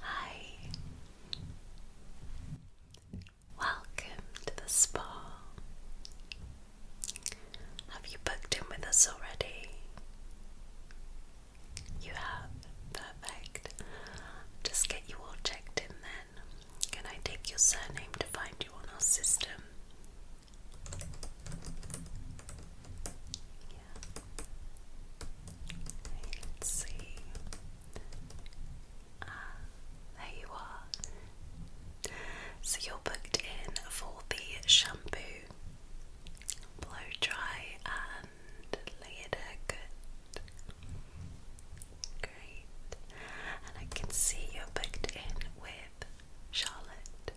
Hi. Welcome to the spa. Have you booked in with us already? You have. Perfect. Just get you all checked in then. Can I take your surname to find you on our system? let's see. Ah, there you are. So you're booked in for the shampoo, blow dry, and later good. Great. And I can see you're booked in with Charlotte.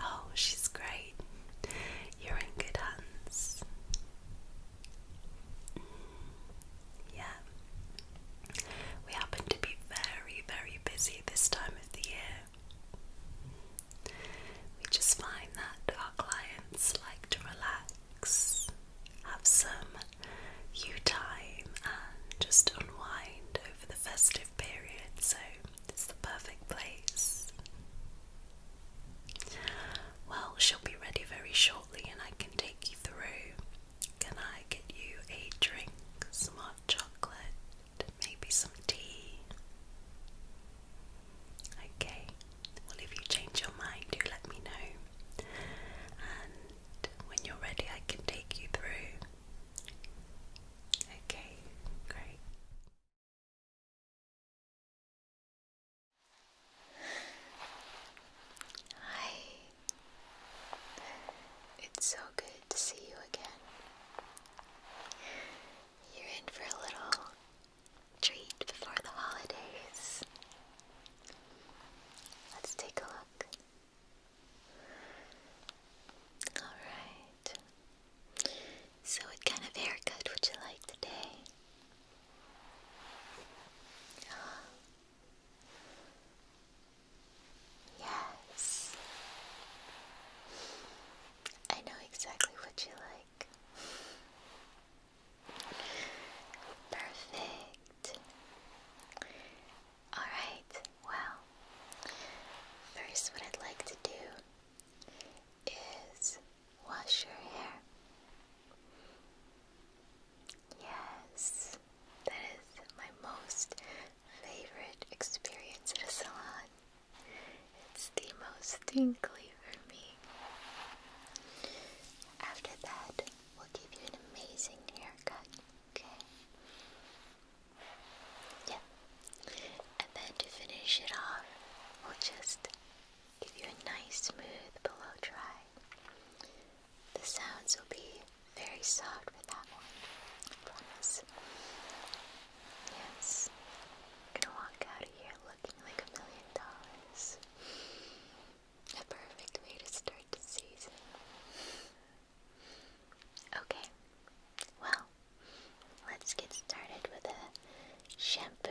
Oh, she's great. You're in good hands. Mm, yeah. We happen to be very, very busy this time of the year. We just find that our clients like to relax, have some you time, and just unwind over the festive period. So it's the perfect place. Well, she'll be ready very shortly and I can take you through. Can I get you a drink, some hot chocolate, maybe some tea? Okay, well, if you change your mind, do let me know. And when you're ready, I can take you through. Okay, great. Hi. It's so good to see you again. You're in for a little treat before the holidays. Let's take a look. Alright. So, what kind of haircut would you like today? Yes. I know exactly what you like. Perfect. Alright, well, first, what I'd like to do is wash your hair. Yes, that is my most favorite experience at a salon. It's the most tingly for me. After that, we'll give you an amazing haircut, okay? Yeah. And then to finish it off, we'll just give you a nice smooth below dry. The sounds will be very soft with that one. promise. Yes. gonna walk out of here looking like a million dollars. A perfect way to start the season. Okay, well, let's get started with a shampoo.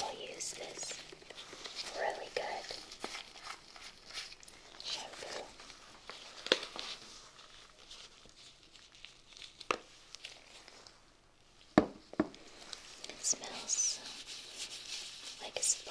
We'll use this really good shampoo. smells like a spa.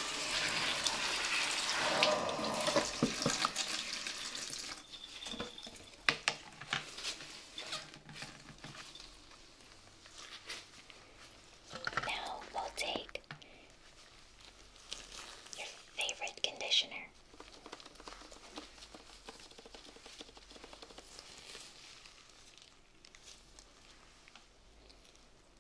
Now we'll take your favorite conditioner.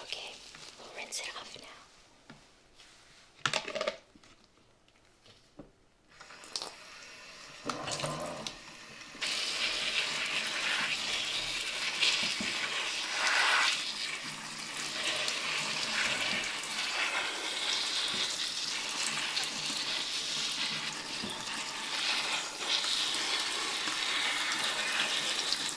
Okay, we'll rinse it off now.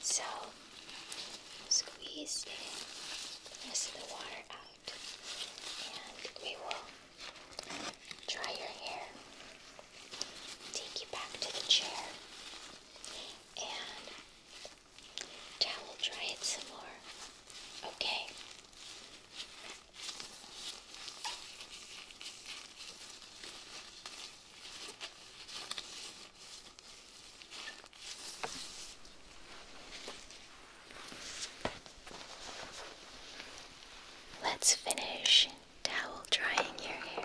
So squeeze the rest of the water out and we will dry your hair, take you back to the chair, and towel dry it some more. Okay. Let's finish towel drying your hair.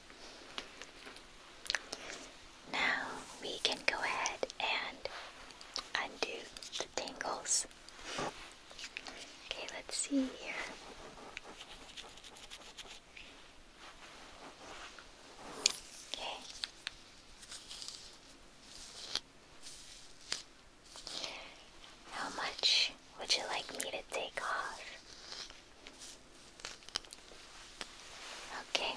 Now we can go ahead and undo the tangles. Okay, let's see here. Okay. How much would you like me to take off? Okay.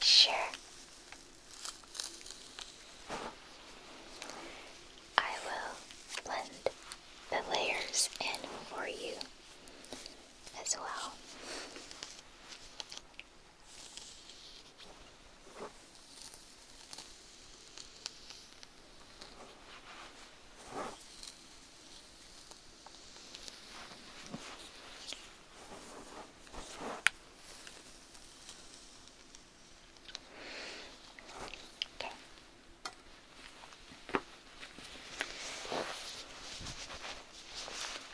Sure. I will blend the layers in for you as well. Да.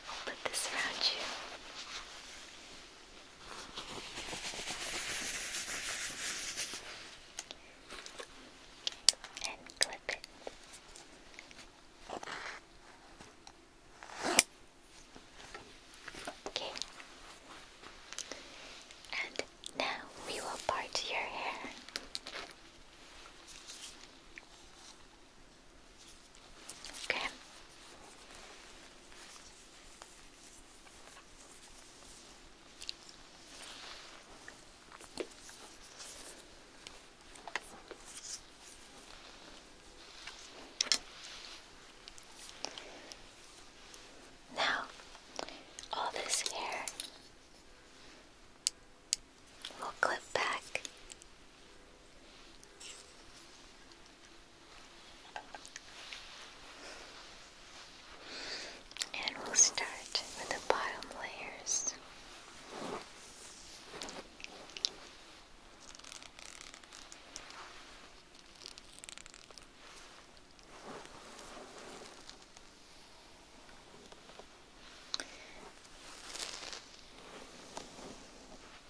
I'll put this around you and clip it. Okay. And now we will part your hair. Okay. Now, all this hair will clip back and we'll start with the bottom layers.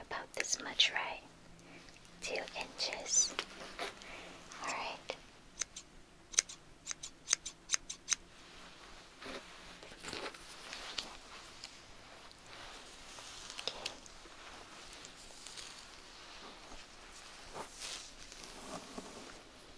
About this much, right? Two inches. Alright.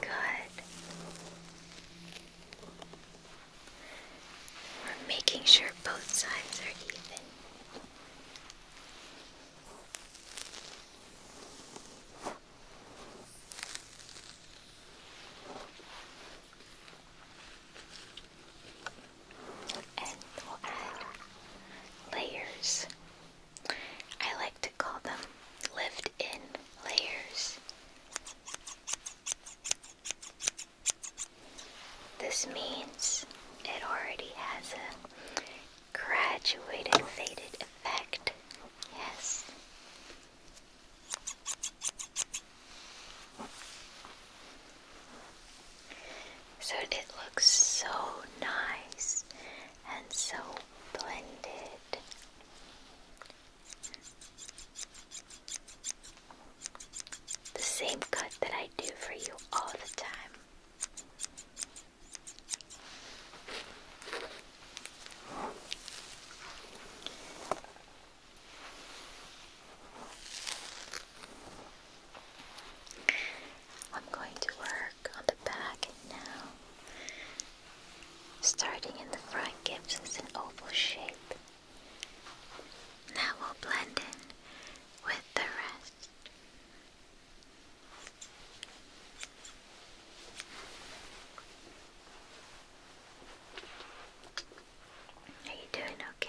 Good. We're making sure both sides are even and we'll add layers. I like to call them lived layers. This means it already has a graduated faded effect. Yes. So it looks so nice and so blended. The same cut that I do for you all the time. I'm going to work on the back now. Starting in the front gives us an oval shape. Now will blend in with the rest. Are you doing okay?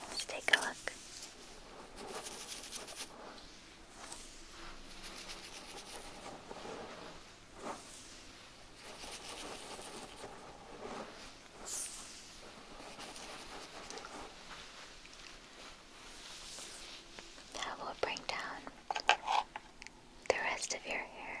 Let's take a look. That will bring down the rest of your hair.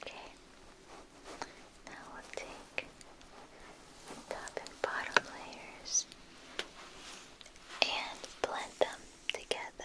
Okay, now we'll take the top and bottom layers and blend them together.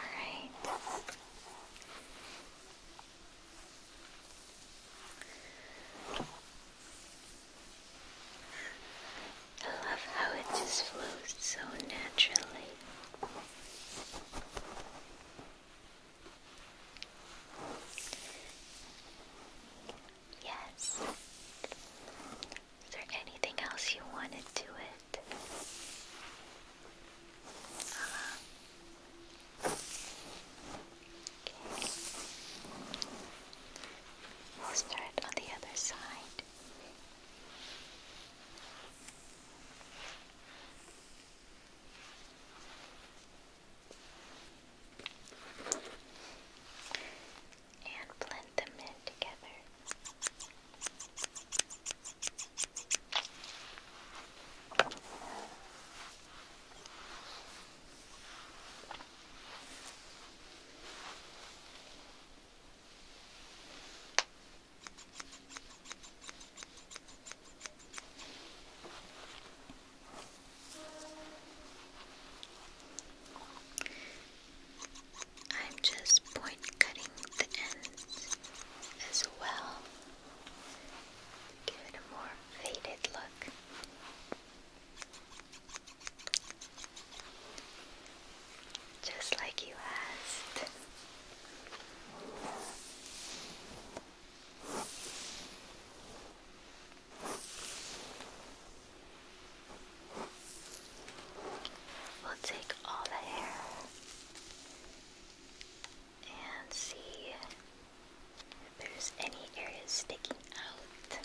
right. I love how it just flows so naturally. Yes. Is there anything else you wanted to it? Uh-huh. We'll start on the other side and blend them in together. I'm just point cutting the ends as well. Give it a more faded look just like you asked. We'll take all the hair and see if there's any areas sticking out.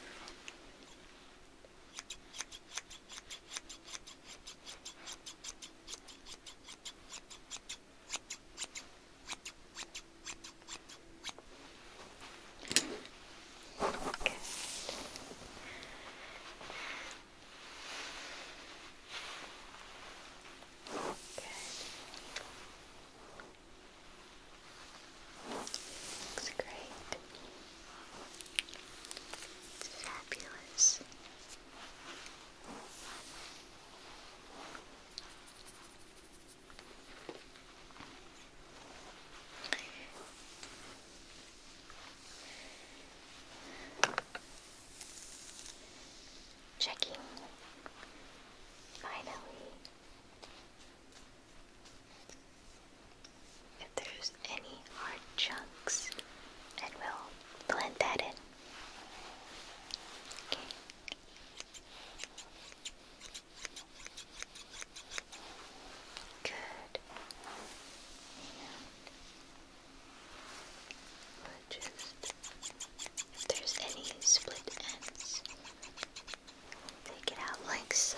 Good. Good. Looks great. fabulous. Checking finally if there's any hard chunks and we'll blend that in. Okay. Good. And we'll just if there's any split ends, take it out like so.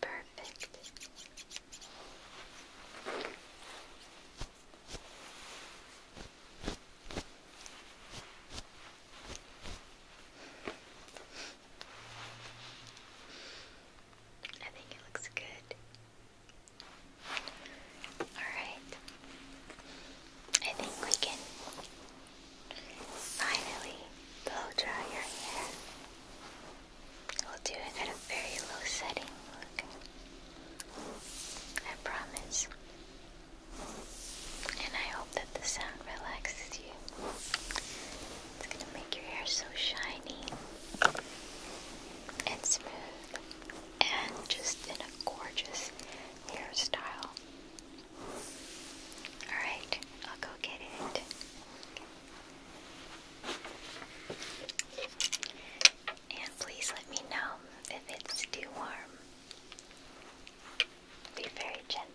Perfect. I think it looks good. All right. I think we can finally blow dry your hair. We'll do it at a very low setting. I promise. And I hope that the sound relaxes you. It's gonna make your hair so shiny and smooth and just in a gorgeous hairstyle. Alright, I'll go get it. And please let me know if it's too warm. Be very gentle.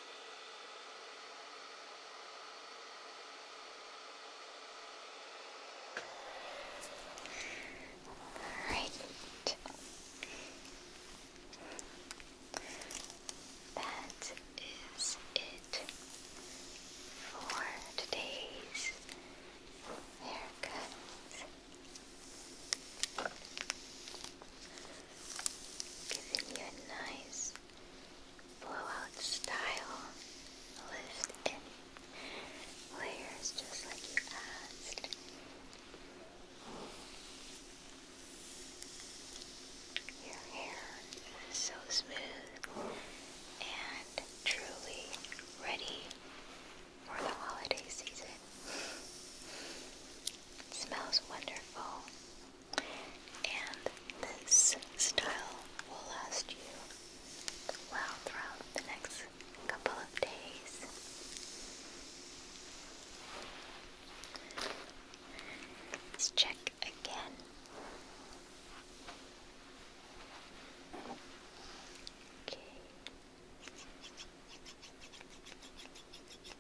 Right. That is it for today's haircuts. Giving you a nice blowout style lift in layers just like you asked. Your hair so smooth and truly ready for the holiday season. It smells wonderful. And this style will last you well throughout the next couple of days. Let's check again. Okay.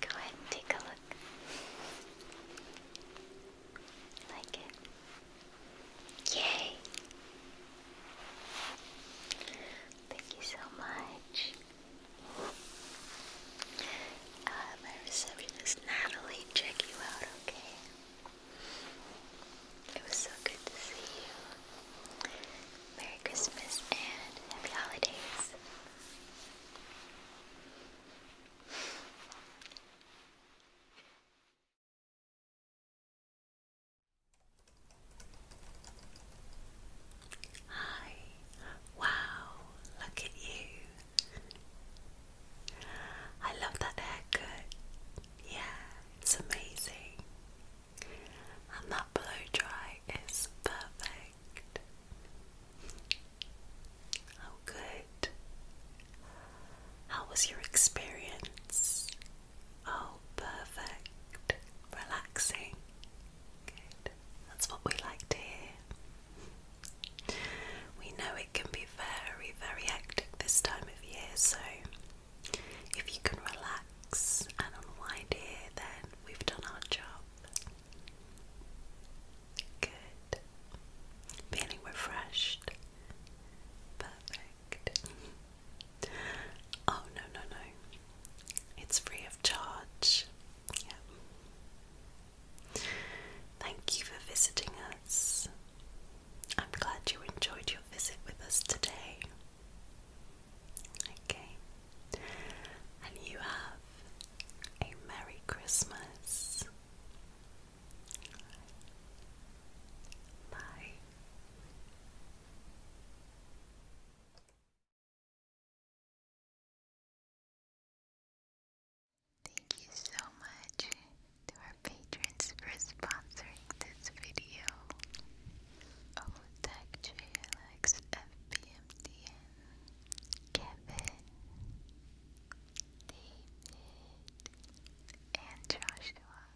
Go ahead and take a look. Like it? Yay! Thank you so much. Uh, my receptionist Natalie, check you out, okay? It was so good to see you. Merry Christmas and Happy Holidays. Hi. Wow, look at you. I love that haircut. Yeah, it's amazing. And that blow dry is perfect. How oh, good. How was your experience? Oh, perfect. Relaxing. Good. That's what we like to We know it can be very, very hectic this time of year, so if you can relax and unwind here, then we've done our job. Good. Feeling refreshed. Perfect. Oh, no, no, no. It's free of charge. Yep. Thank you for visiting us. I'm glad you enjoyed your visit with us today. Okay, and you have a Merry Christmas. Bye. Thank you so much to our patrons for sponsoring this video. Otech JLX FBMDN, Kevin, David, and Joshua.